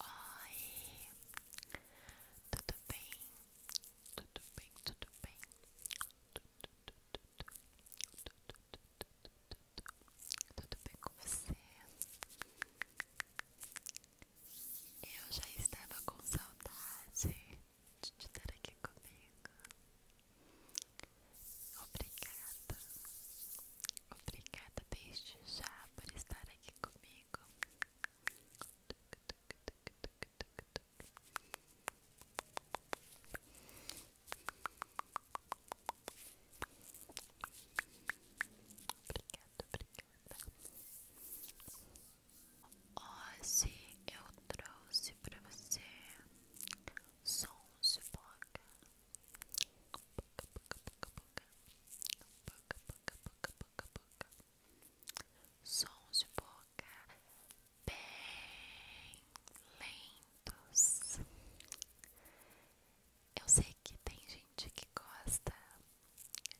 Oi, tudo bem? Tudo bem, tudo bem? Tudo bem com você? Eu já estava com saudade de estar aqui comigo. Obrigada Obrigada desde já por estar aqui comigo. Obrigada, obrigada. Hoje eu trouxe para você sons de boca Sons de boca bem lentos. Eu sei que tem gente que gosta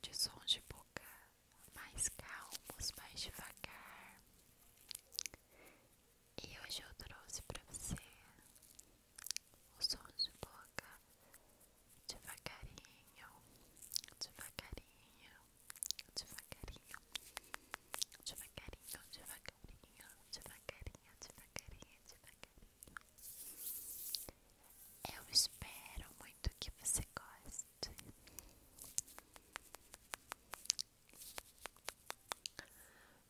de sons de boca mais calmos, mais devagar. E hoje eu trouxe pra você o som de boca devagarinho, devagarinho, devagarinho, devagarinho, devagarinho, devagarinho, devagarinho, devagarinho. Eu espero muito que você goste.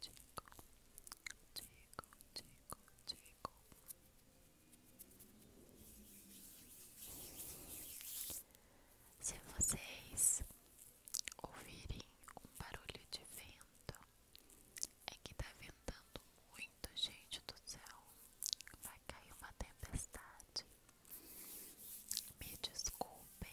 tico, tico, tico, tico. Se vocês ouvirem um barulho de vento, é que tá ventando muito, gente do céu. Vai cair uma tempestade. Me desculpem.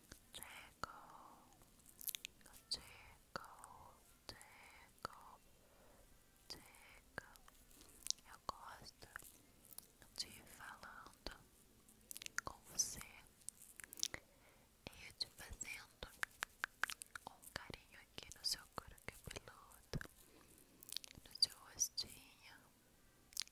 tickle, tickle, tickle, tickle. Eu gosto de ir falando com você e te fazendo um carinho aqui no seu couro cabeludo, no seu rostinho,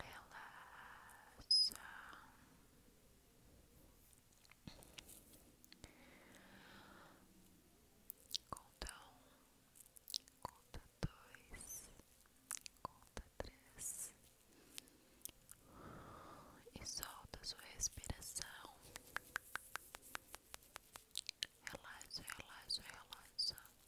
relaxa, conta um, conta dois, conta três e solta sua respiração. Relaxa, relaxa, relaxa.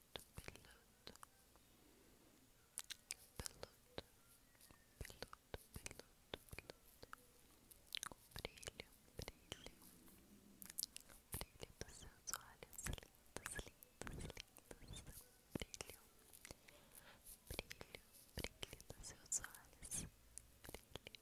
peludo, peludo, peludo, peludo, peludo. O brilho, brilho, o brilho dos seus olhos lindos, lindos, lindos. Brilho, brilho, brilho dos seus olhos. brilho, brilho, brilho.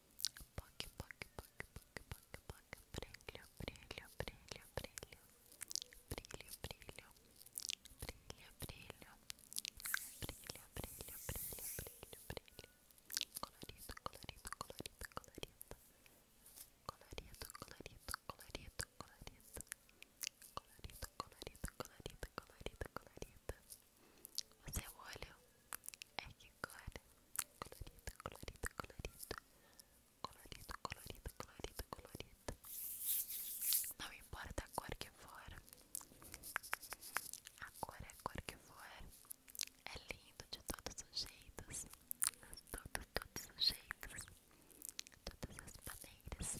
Poc, poc, poc, poc, poc, poc. Brilho, brilho, brilho, brilho. Brilho, brilho. Brilho, brilho. Brilho, brilho, brilho, brilho, brilho. Colorido, colorido, colorido, colorido. Colorido, colorido, colorido, colorido. Colorido, colorido, colorido, colorido, colorido. Você é o olho. É que agora, colorido, colorido, colorido, colorido, colorido, colorido, colorido. Não importa a cor que for, a cor é a cor que for. É lindo de todos os jeitos, de todos os jeitos, de todas as maneiras.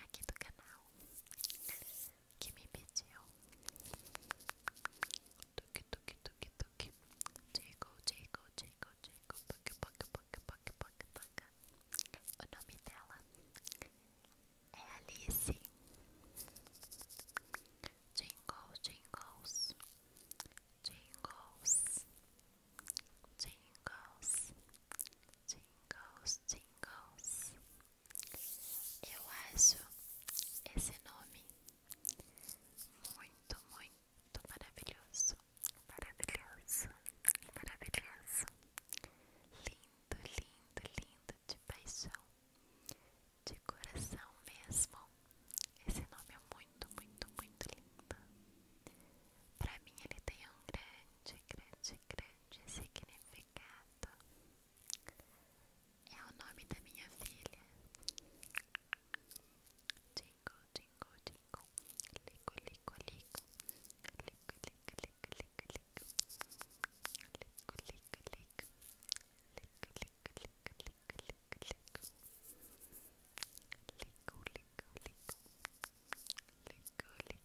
aqui do canal que me pediu tuque tuque tuque tuque jingle jingle jingle Jacob poc, poc, poc, poc, poc, poc. O nome dela é Alice Jingles, Jingles Jingles Jingles, jingles, jingles. Eu acho esse nome muito, muito maravilhoso. Maravilhoso, maravilhoso. Lindo, lindo, lindo de paixão. De coração mesmo. Esse nome é muito, muito, muito lindo. Pra mim, ele tem um grande Cecrecce Crecce significato è un nome da mia figlia Cinco, cinco, cinco Lico, lico, lico Lico, lico, lico, lico Lico, lico, lico Lico, lico, lico, lico Lico, lico, lico Lico, lico, lico Lico, lico,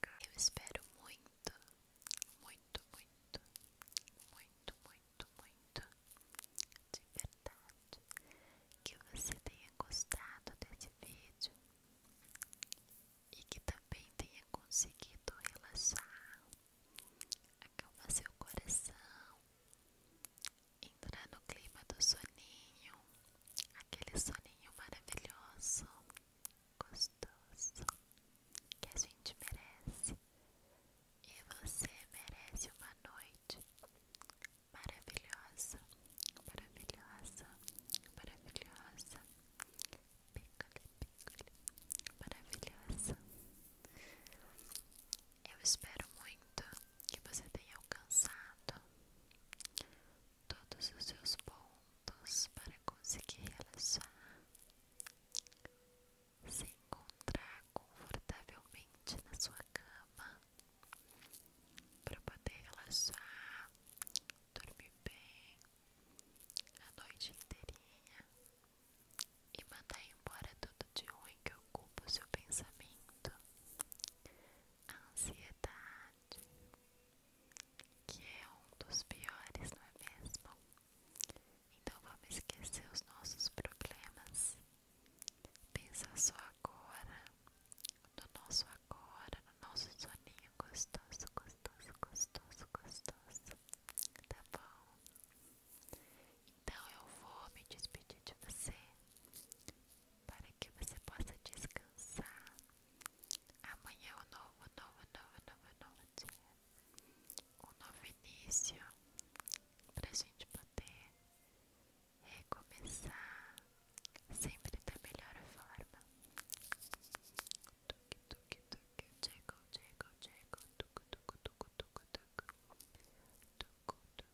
Eu espero muito, muito, muito, muito, muito, muito, de verdade, que você tenha gostado desse vídeo e que também tenha conseguido relaxar, acalmar seu coração, entrar no clima do soninho, aquele soninho maravilhoso gostoso que a gente merece e você merece uma noite maravilhosa, maravilhosa, maravilhosa, piccoli, piccoli, maravilhosa. Eu espero muito que você tenha alcançado todos os seus pontos para conseguir relaxar, se encontrar confortavelmente na sua cama para poder relaxar, dormir bem a noite inteirinha e mandar embora tudo de ruim que ocupa o seu pensamento, a ansiedade que é um dos piores, não é mesmo? Então vamos esquecer os nossos problemas, pensar só agora, no nosso agora, no nosso soninho gostoso, gostoso, gostoso, gostoso, tá bom? Então eu vou me despedir de você para que você possa descansar Amanhã é um novo, novo, novo, novo, novo dia. Um novo início pra gente poder recomeçar sempre da melhor forma. Tuque, tuque, tuque, chego, chego, chego, tucu, tucu, tucu, tucu, tucu, tucu, tucu,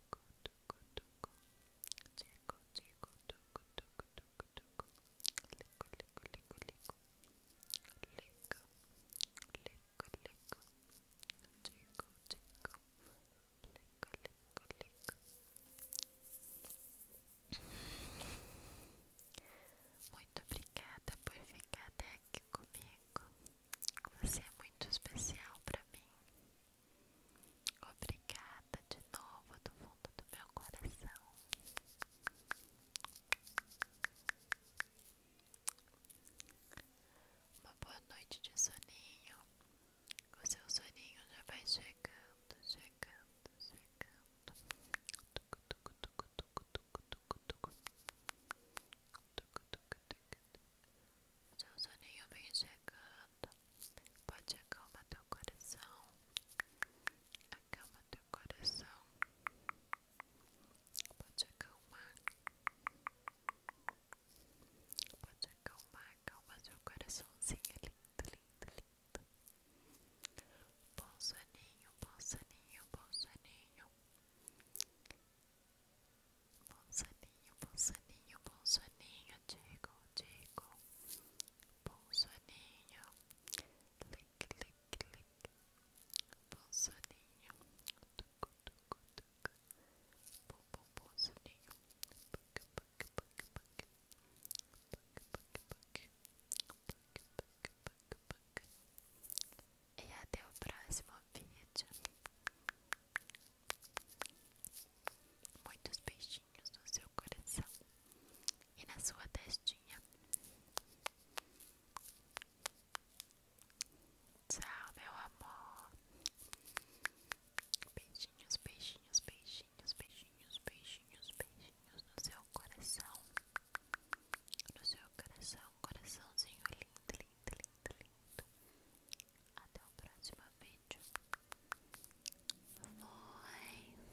tucu, tucu, chego, ligo, tuco, tuco, tuco, tuco. Ligo, ligo, ligo, ligo. Ligo, ligo, ligo. Digo, digo. Ligo, ligo, ligo. Muito obrigada por ficar até aqui comigo. Você é muito especial para mim. Obrigada de novo do fundo do meu coração. Uma boa noite de soninho. O seu soninho já vai chegando, chegando, chegando. Tucu, tucu, tucu, tucu, tucu, tucu, tucu. Tucu, tucu, tucu, tucu. Seu soninho vem chegando. Pode acalmar teu coração acalma teu coração, pode acalmar, pode acalmar, acalma teu coraçãozinho, é lindo, lindo, lindo. Bom soninho, bom soninho, bom soninho. Bom soninho, bom soninho, bom soninho, digo, digo. Bom soninho. Clic, clic, clic. Bom soninho. Tucu, tucu, tucu. Bom, bom, bom soninho. Puc, puc, puc, puc. Puc, puc, puc. Puc, puc, puc. E até o próximo vídeo. Muitos beijinhos beijinhos no seu coração e na sua testinha. Tchau, meu amor. Beijinhos, beijinhos, beijinhos, beijinhos, beijinhos, beijinhos no seu coração. No seu coração, coraçãozinho lindo, lindo, lindo, lindo. Até o próximo vídeo. Foi.